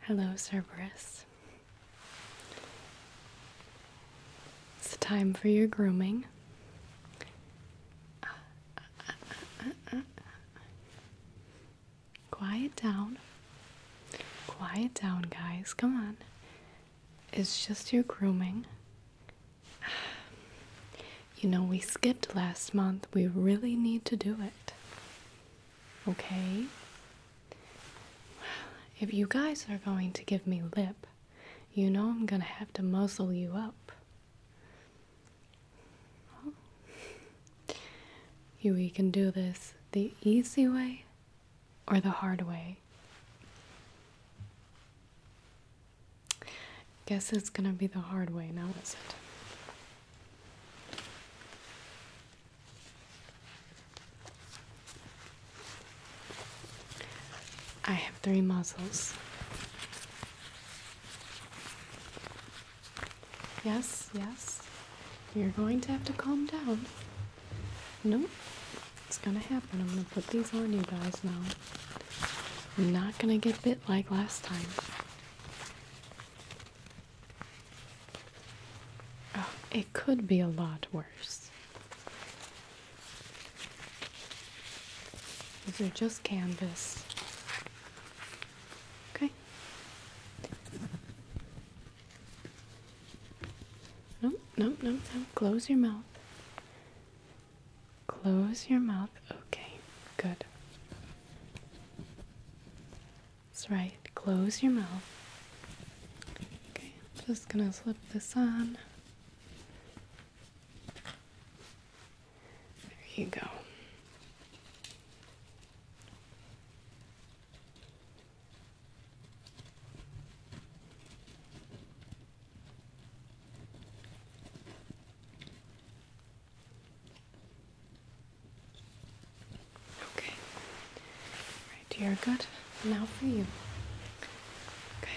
Hello, Cerberus. It's time for your grooming. Quiet down. Quiet down, guys. Come on. It's just your grooming. You know, we skipped last month. We really need to do it. Okay? Well, if you guys are going to give me lip, you know I'm gonna have to muzzle you up. you, can do this the easy way or the hard way. Guess it's gonna be the hard way now, is not it? I have three muzzles. Yes, yes. You're going to have to calm down. No, It's gonna happen. I'm gonna put these on you guys now. I'm not gonna get bit like last time. Oh, it could be a lot worse. These are just canvas. Okay. nope, nope, nope. Close your mouth. Close your mouth. Okay, good. That's right. Close your mouth. Okay, I'm just gonna slip this on. There you go. Okay. Right, you're good. Now for you. Okay.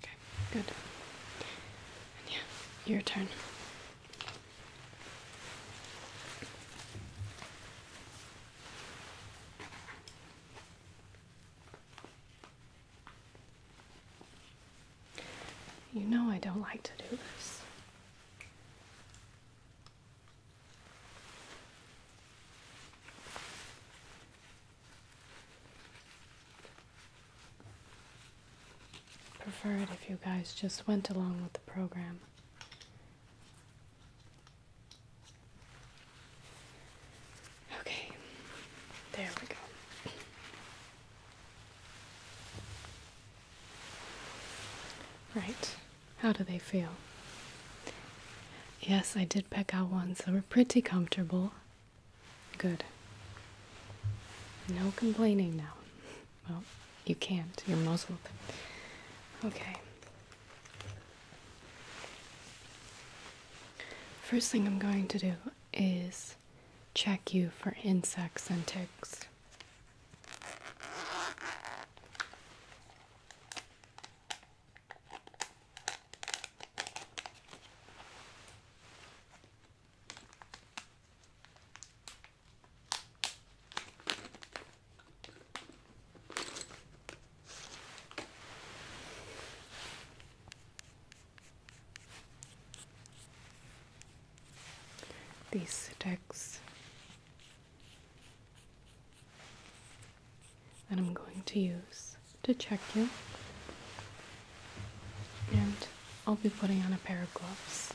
Okay, good. yeah, your turn. You know I don't like to do this. Prefer it if you guys just went along with the program. Okay, there we go. Right, how do they feel? Yes, I did pick out ones that were pretty comfortable. Good. No complaining now. Well, you can't, you're most welcome. Okay. First thing I'm going to do is check you for insects and ticks these sticks that I'm going to use to check you. And I'll be putting on a pair of gloves.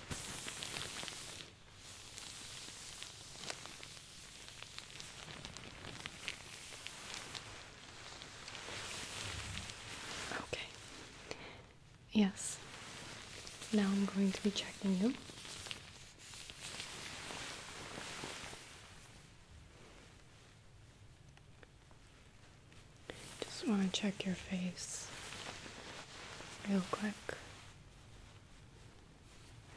Okay. Yes. Now I'm going to be checking you. Just want to check your face real quick.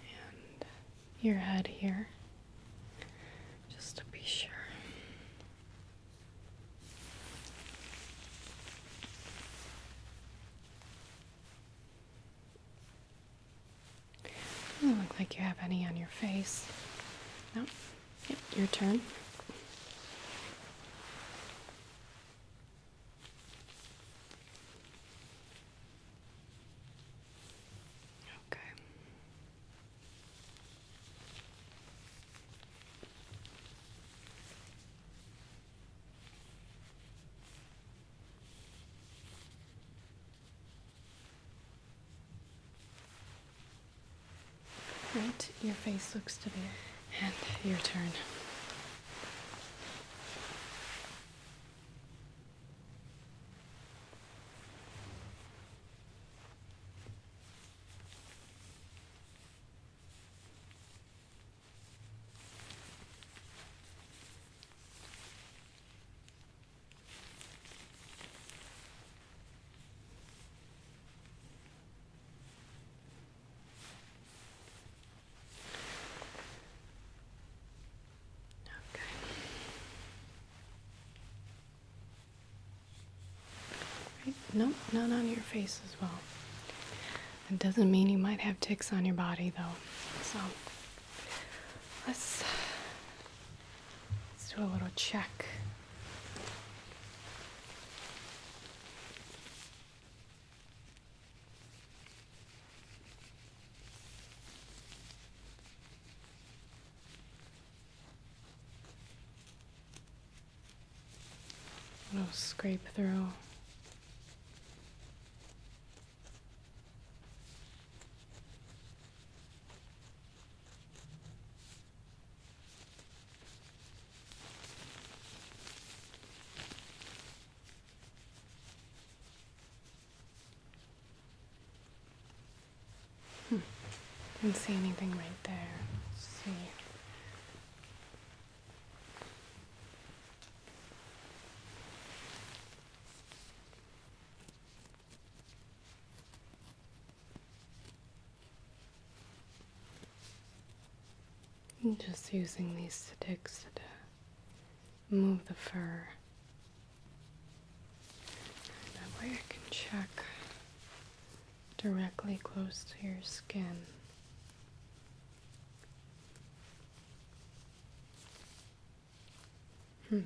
And your head here, just to be sure. Doesn't look like you have any on your face. No? your turn. Okay. Right, your face looks to be and your turn. Okay. Nope, not on your face as well. It doesn't mean you might have ticks on your body though. So let's let's do a little check. I'll scrape through. Hmm. Didn't see anything right there. see. I'm just using these sticks to move the fur. That way I can check directly close to your skin. Hmm.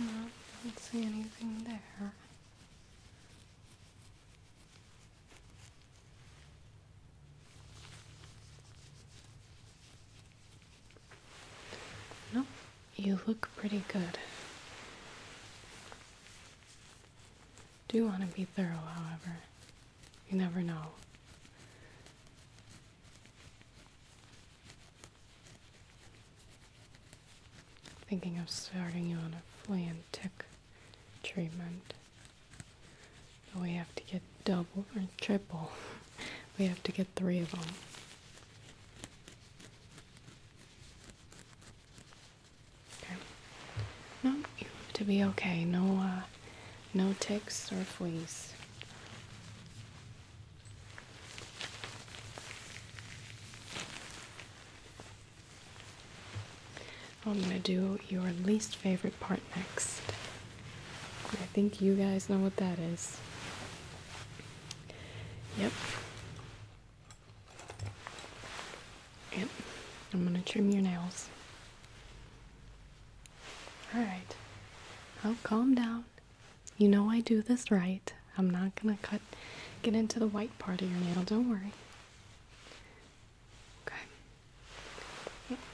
I don't see anything there. Nope, you look pretty good. Do want to be thorough, however. You never know. Thinking of starting you on a flea treatment. But we have to get double or triple. we have to get three of them. Okay. No, you have to be okay. No, uh, no ticks or fleas. I'm going to do your least favorite part next. I think you guys know what that is. Yep. Yep. I'm going to trim your nails. All right. Now calm down. You know I do this right. I'm not going to cut get into the white part of your nail. Don't worry. Okay.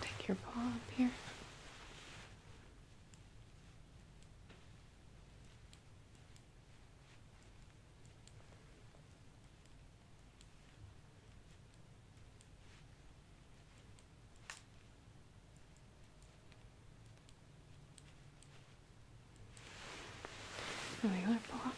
take your paw up here we go, Paul.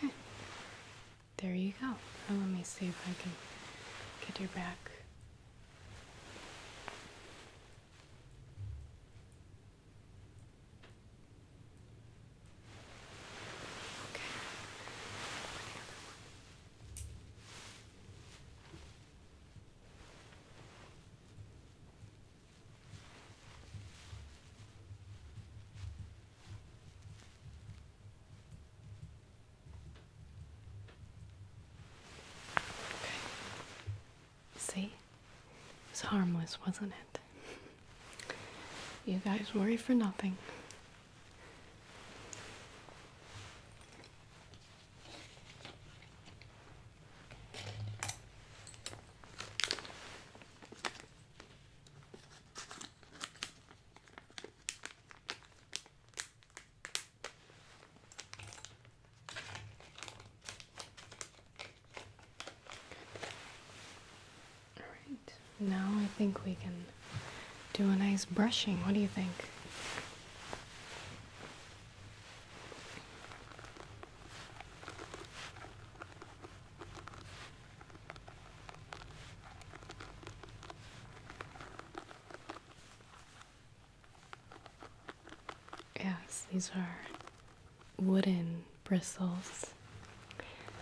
Okay. There you go. Now let me see if I can get your back. Okay. See? It was harmless, wasn't it? You guys worry for nothing. All right. Now I think we can do a nice brushing. What do you think? Yes, these are wooden bristles.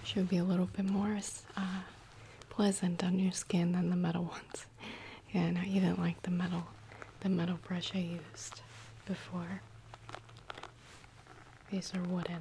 Should be a little bit more uh, pleasant on your skin than the metal ones. Yeah, no, you didn't like the metal, the metal brush I used before. These are wooden.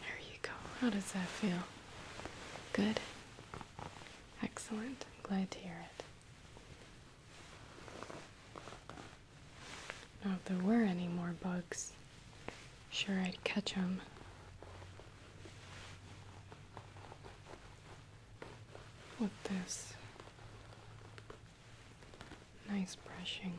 There you go. How does that feel? Good. Excellent. I'm glad to hear it. Now, if there were any more bugs, sure I'd catch them. With this Nice brushing.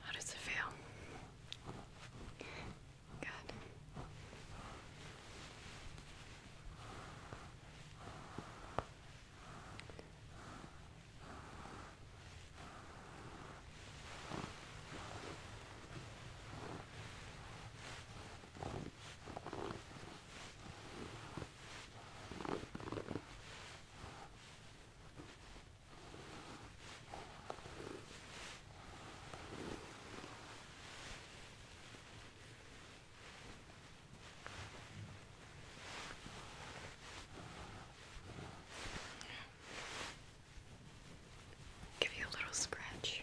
How does it feel? Good. Give you a little scratch.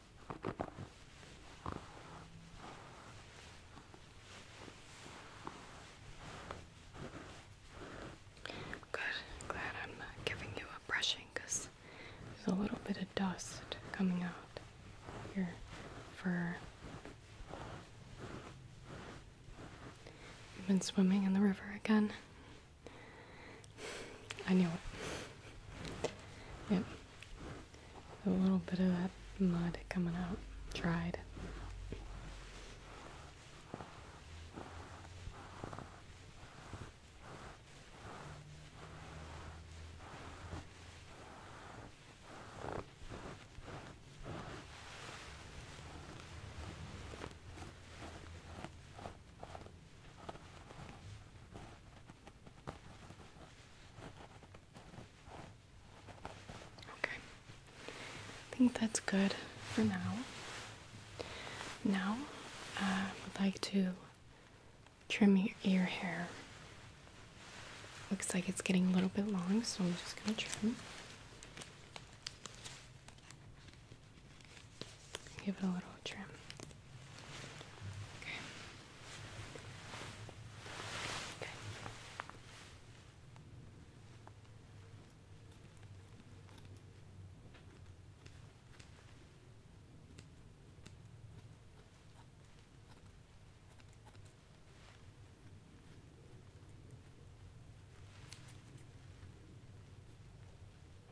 Good. Glad I'm not giving you a brushing because there's a little bit of dust coming out your fur. You've been swimming in the river again. I knew it. Yep. A little bit of that mud coming out, dried. Okay, I think that's good for now. Now, um, I would like to trim your ear hair. Looks like it's getting a little bit long, so I'm just going to trim. Give it a little trim. Okay. Good.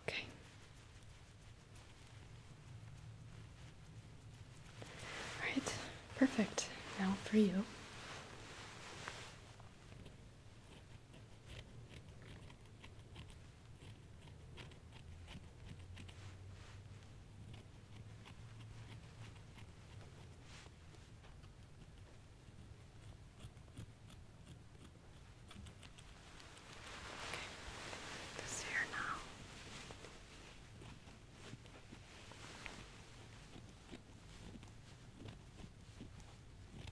Okay. All right, perfect. Now for you. Okay. This here now. Okay.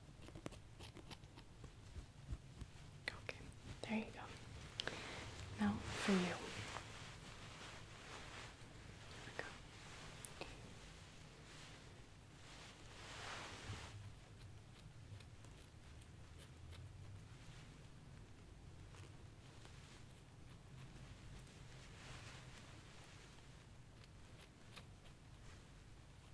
Okay, there you go. Now for you. Here we go.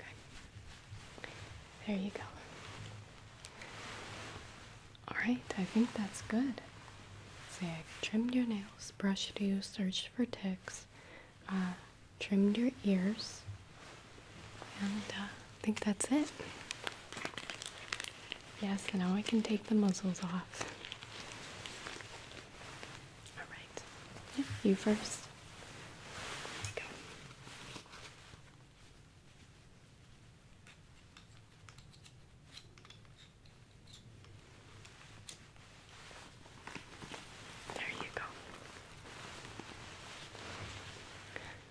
Okay. There you go. All right, I think that's good. Say so trimmed your nails, brushed you, searched for ticks, uh, trimmed your ears, and uh, I think that's it. Yes, now I can take the muzzles off. All right, you first. There you go.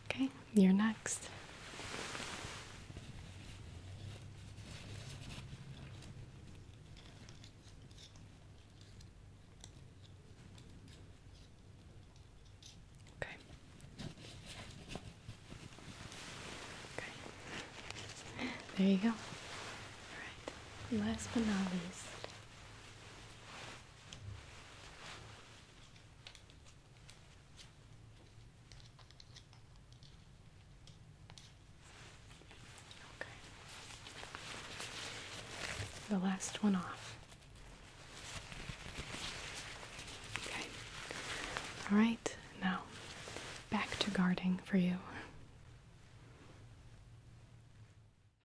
Okay, you're next. Okay. Okay. There you go. All right. Last but not least, the last one off. Okay. All right. Now, back to guarding for you.